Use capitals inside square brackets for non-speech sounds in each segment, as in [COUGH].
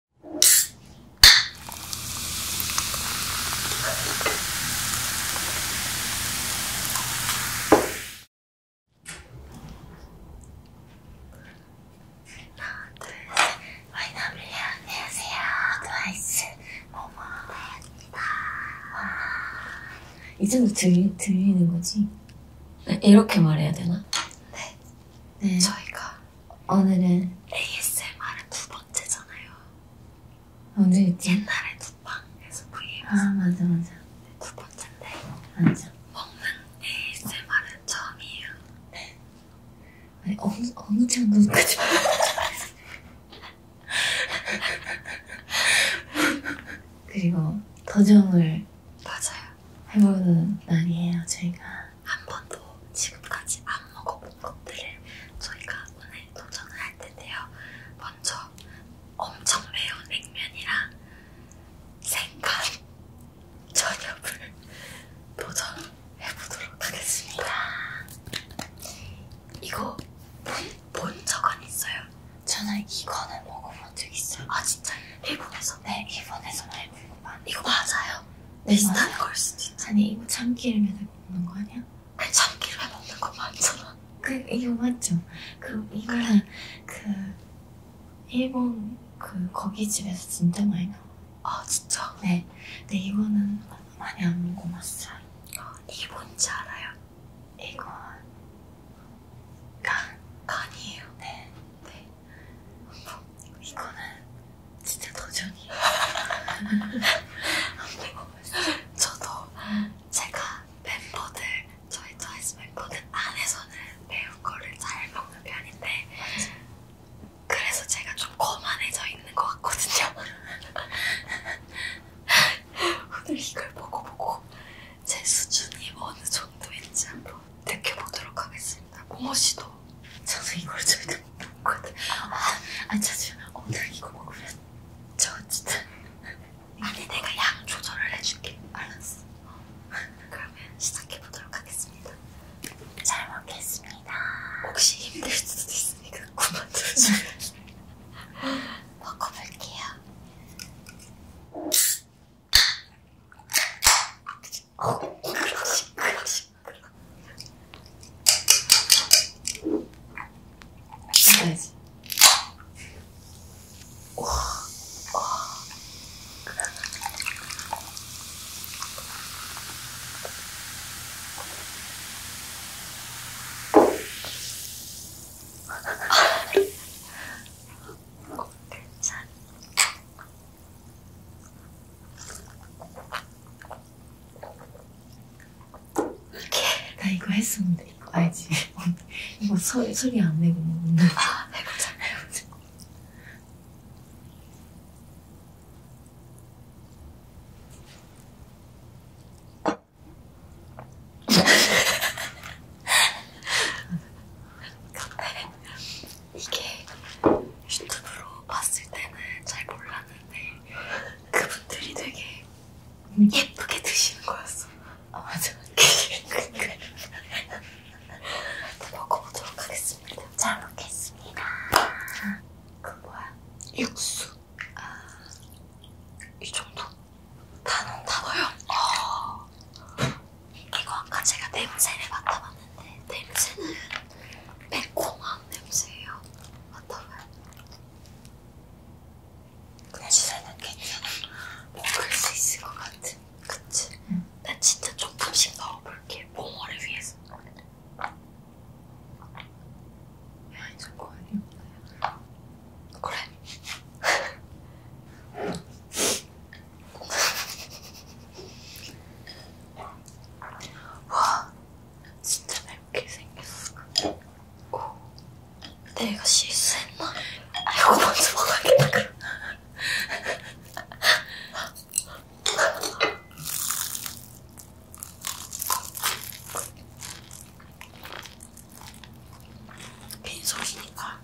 하나, 둘, 셋. YW 안녕하세요. 트와이스 모모입니다. 이 정도 들리, 들리는 거지? 이렇게 말해야 되나? 네. 네. 저희가 오늘은 ASMR은 두 번째잖아요. 오늘 옛날에 두방에서 v 아 맞아 맞아. 네, 두 번째인데. 맞아. 먹는 ASMR은 처음이에요. 네. 아니 어느 어느 정도까지. [LAUGHS] 그리고 더정을 맞아요. 해보는 날이에요. 저희가 한 번도 지금까지 안 먹어본 것들을 저희가 오늘 도전을 할 텐데요. 먼저 엄청 매운 냉면이랑 생강 [LAUGHS] 저녁을 도전해보도록 하겠습니다. 이거 본 적은 있어요? 저는 이거는 먹어본 적 있어요. 아 진짜? 일본에서? 네, 일본에서 말고. 이거 맞아요? 비슷한 네, 걸 수도 있지 아니 이거 참기름에다 먹는 거 아니야? 아니 참기름에 먹는 거 맞잖아 그 이거 맞죠? 그 이거랑 그 일본 그 거기 집에서 진짜 많이 나와 아 진짜? 네 근데 이거는 많이 안 먹어봤어요 아, 이게 뭔지 알아요? 이건 간 간이에요? 네, 네. 이거는 진짜 도전이에요. [LAUGHS] 저도 제가 멤버들 저희 트와이스 멤버들 안에서는 매운 거를 잘 먹는 편인데 그래서 제가 좀 거만해져 있는 것 같거든요. [LAUGHS] 오늘 이걸 보고 보고 제 수준이 어느 정도인지 한번 택해보도록 하겠습니다. 고모씨도 저는 이걸 절대 못 먹거든. 아, 아니 자주 오늘 이거 먹으면 저 진짜 아니 내가 양 조절을 해줄게. 알았어. 그러면 시작해보도록 하겠습니다. 잘 먹겠습니다. 혹시 힘들 수도 있으니까 그만두세요. [LAUGHS] [LAUGHS] 먹어볼게요. 지금까지. 아, 어, 괜찮. 나 이거 했었는데 이거 알지? [LAUGHS] 이거 소, 소리 안 내고 먹는 뭐 아 해보자 해보자 [LAUGHS] 이게 유튜브로 봤을 때는 잘 몰랐는데 그분들이 되게 예쁘게 드시는 거였어. 아 맞아. [LAUGHS] 먹어보도록 하겠습니다. 잘 먹겠습니다. 그 뭐야? 육수. 아, 이 정도? 단어 단어요? 아. 이거 아까 제가 냄새를 맡아봤는데 냄새는 매콤한 냄새예요. 맡아봐요. 냄새는 괜찮아. 먹을 뭐 수 있을 것 같은. 그치? 응. 음. 나 진짜 조금씩 넣어볼게. 봉어를 위해서. 야, 이거 거의 그래. [LAUGHS] 와, 진짜 맵게 생겼어. 오, 내가 실수했나? 아, 이거 먼저 먹어야겠다, 그럼. 빈속이니까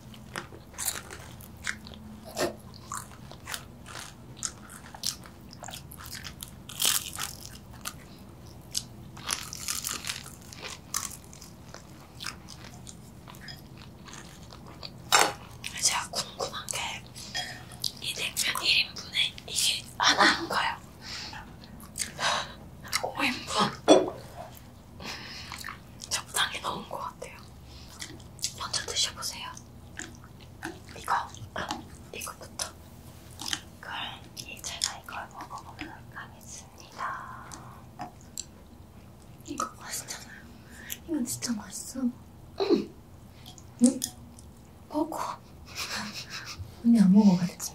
제가 궁금한 게 이 냉면 1인분에 이게 하나인 거예요. 5인분 적당히 넣은 것 같아요. 먼저 드셔보세요. 이거, 아, 이것부터. 그럼 제가 이걸 먹어보도록 하겠습니다. 이거 맛있잖아요. 이건 진짜 맛있어. 응. 음. 응? 음? 먹어. 언니 안 먹어봤지?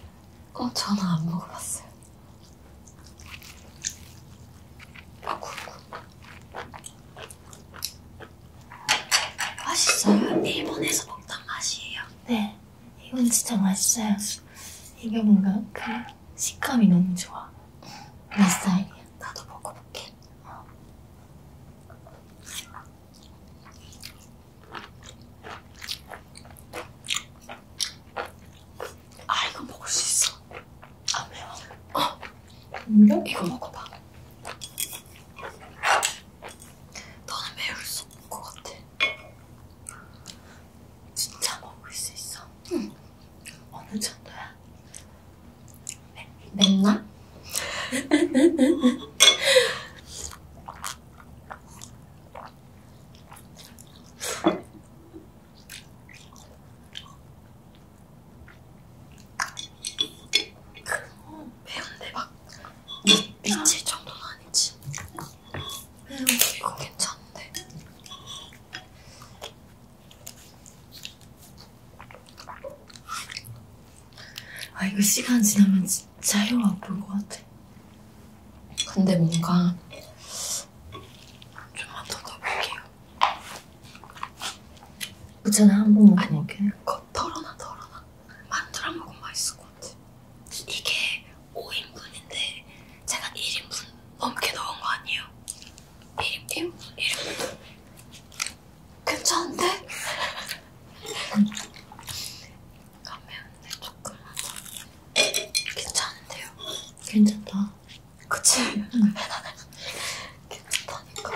어, 저는 안 먹어봤어요. 아구, 아구. 맛있어요. 일본에서 먹던 맛이에요. 네. 이건 진짜 맛있어요. 이게 뭔가 그 식감이 너무 좋아. 내 스타일이야. 나도 먹어볼게. 어. 아 이거 먹을 수 있어. 아 매워. 어. 근데? 이거 먹어봐. 너는 매울 수 없는 것 같아. 진짜 먹을 수 있어. 응. 어느 정도야? 매, 맵나? [LAUGHS] 매운데 막 미, 미칠 정도는 아니지. 음, 이거 괜찮은데. 아 이거 시간 지나면 진짜 혀 아플 것 같아. 근데 뭔가 좀만 더 넣어볼게요. 그잖아 한번 먹어볼게. 거 털어놔 털어놔. 만두랑 먹으면 맛있을 것 같아. 이게 5인분인데 제가 1인분 넘게 넣은 거 아니에요? 1, 1인분? 1인분? 괜찮은데? 안 매운데 조금만 더. 괜찮은데요? 괜찮다. 그치? 응. 괜찮다니까.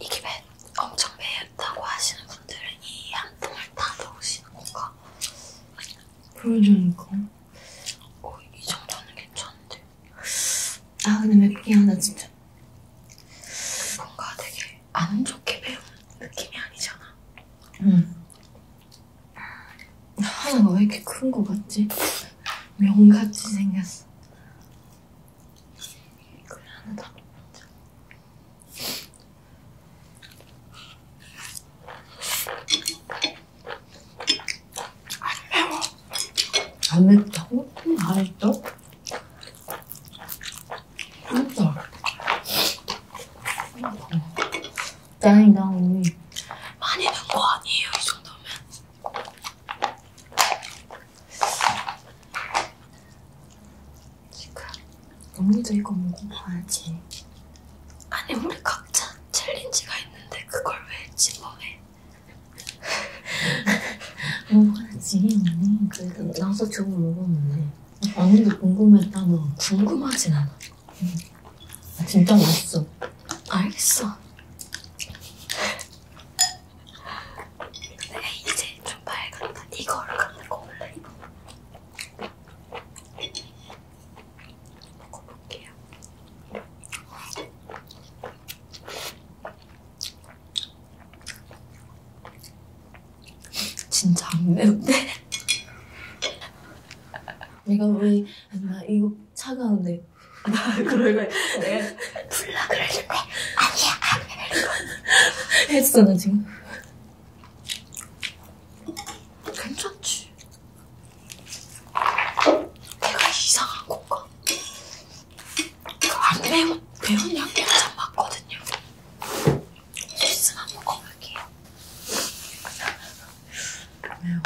이게 매, 엄청 매였다고 하시는 분들은 이 한 통을 다 넣으시는 건가? 그러니까. 어, 이 정도는 괜찮은데. 아 근데 맥기야 나 진짜 뭔가 되게 안 좋게 배운 느낌이 아니잖아 응 하나가 왜 이렇게 큰 거 같지? 명같이 생겼어 그래 하나 더안 매워 안 맵다고? 안 맵다고? 진짜. 짱이다, 언니. 많이 난거 아니에요, 이 정도면. 지금. 언니도 이거 먹어봐야지. 아니, 우리 각자 챌린지가 있는데 그걸 왜 집어해? 먹어야지 언니 그래도 나도 저거 먹었는데 언니도 궁금했다 너 궁금하진 않아 응. 아, 진짜 맛있어 알겠어 내가 네, 이제 좀 밝았다 이거를 갖다 골라 이거 먹어볼게요 진짜 안 매운데? 내가 왜, 나 이거 차가운데. 나 그럴래. 내가 불러 그러실 거야. 네. 아니야, 아니야. 이러고. 했어, 나 지금. 괜찮지. 내가 이상한 건가? 안 아, 매운, 매운 양념장 맞거든요. 소스만 먹어볼게요. 매워.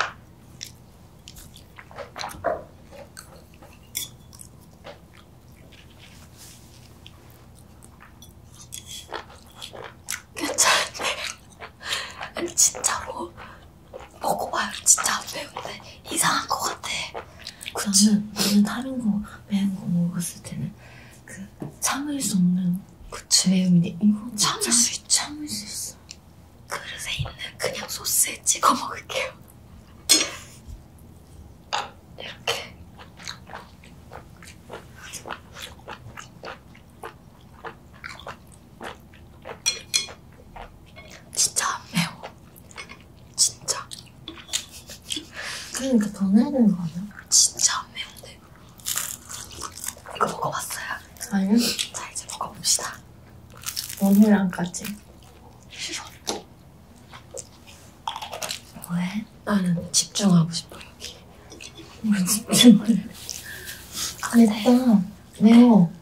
괜찮은데? 아니 진짜로 먹어봐요. 진짜 안 매운데 이상한 것 같아. 저는 저는 다른 거 매운 거 먹었을 때는 그 참을 수 없는 그치 매운데 이거 참을 참, 수 있, 참을 수 있어. 그릇에 있는 그냥 소스에 찍어 먹을게요. [LAUGHS] 이렇게. 진짜 안 매워. 진짜. 그러니까 더 내야 되는 거 아니야? 진짜 안 매운데. 이거 먹어봤어요? 아니요. 자 이제 먹어봅시다. 원이랑까지. 싫어. 왜? 나는 집중하고 싶어 여기. 왜 집중을? 안 돼. 아, 네. 매워.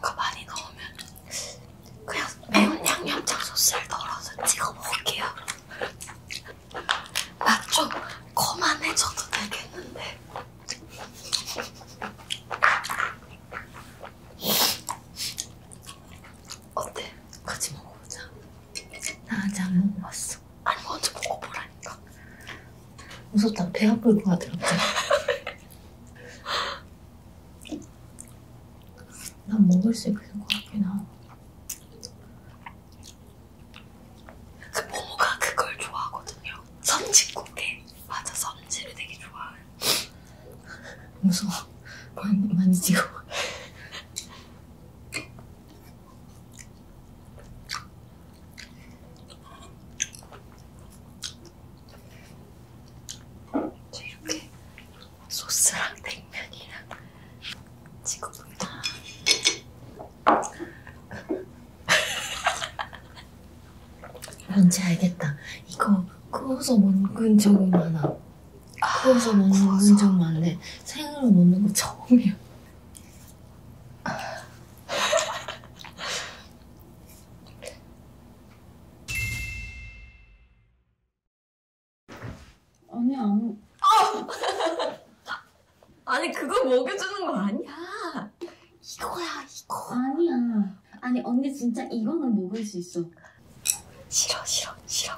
그 많이 넣으면 그냥 매운 양념장 소스를 덜어서 찍어 먹을게요. 맛좀 거만해져도 되겠는데. 어때? 같이 먹어보자. 나 아직 안 먹어봤어. 아니 먼저 뭐 먹어보라니까. 무섭다. 배 아플 것 같아. [LAUGHS] 난 먹을 수 있을 것 같긴 하고. 그 모모가 그걸 좋아하거든요. 섬지국에 맞아, 섬지를 되게 좋아해. 무서워. 만, 만지고. 이렇게 소스랑 냉면이랑 찍어봅니다. 뭔지 알겠다. 이거 구워서 먹은 적이 많아. 아, 구워서 먹은 적 많은데 생으로 먹는 거 처음이야. [LAUGHS] 아니 아무 [LAUGHS] 아니 그걸 먹여주는 거 아니야 이거야 이거 아니야 아니 언니 진짜 이거는 먹을 수 있어 싫어 싫어 싫어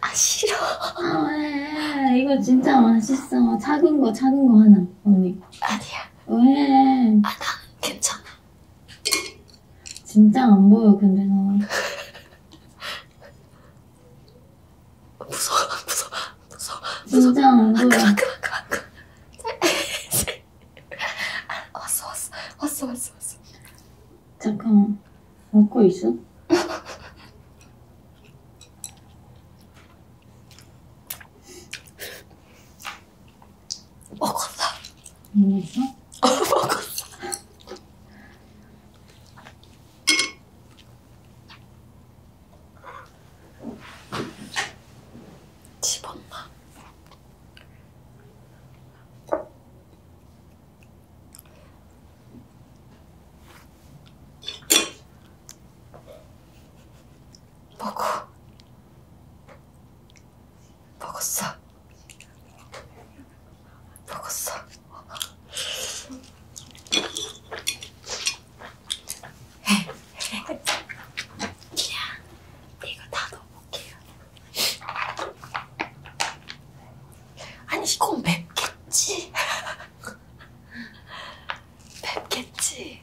아 싫어 아왜 이거 진짜 맛있어 작은 거 작은 거 하나 언니 아니야 왜? 아, 나 괜찮아. 진짜 안 보여, 근데 나. 무서워, 무서워, 무서워. 진짜 안 보여. 아, 그만, 그만, 그만, 그만. 아, 왔어, 왔어, 왔어, 왔어, 왔어. 잠깐만. 먹고 있어? [LAUGHS] 먹었어. 먹었어? 어, 먹었어. 집 엄마. 먹어. 먹었어. 먹었어. 이거 다 넣어볼게요. 아니 이건 맵겠지. 맵겠지.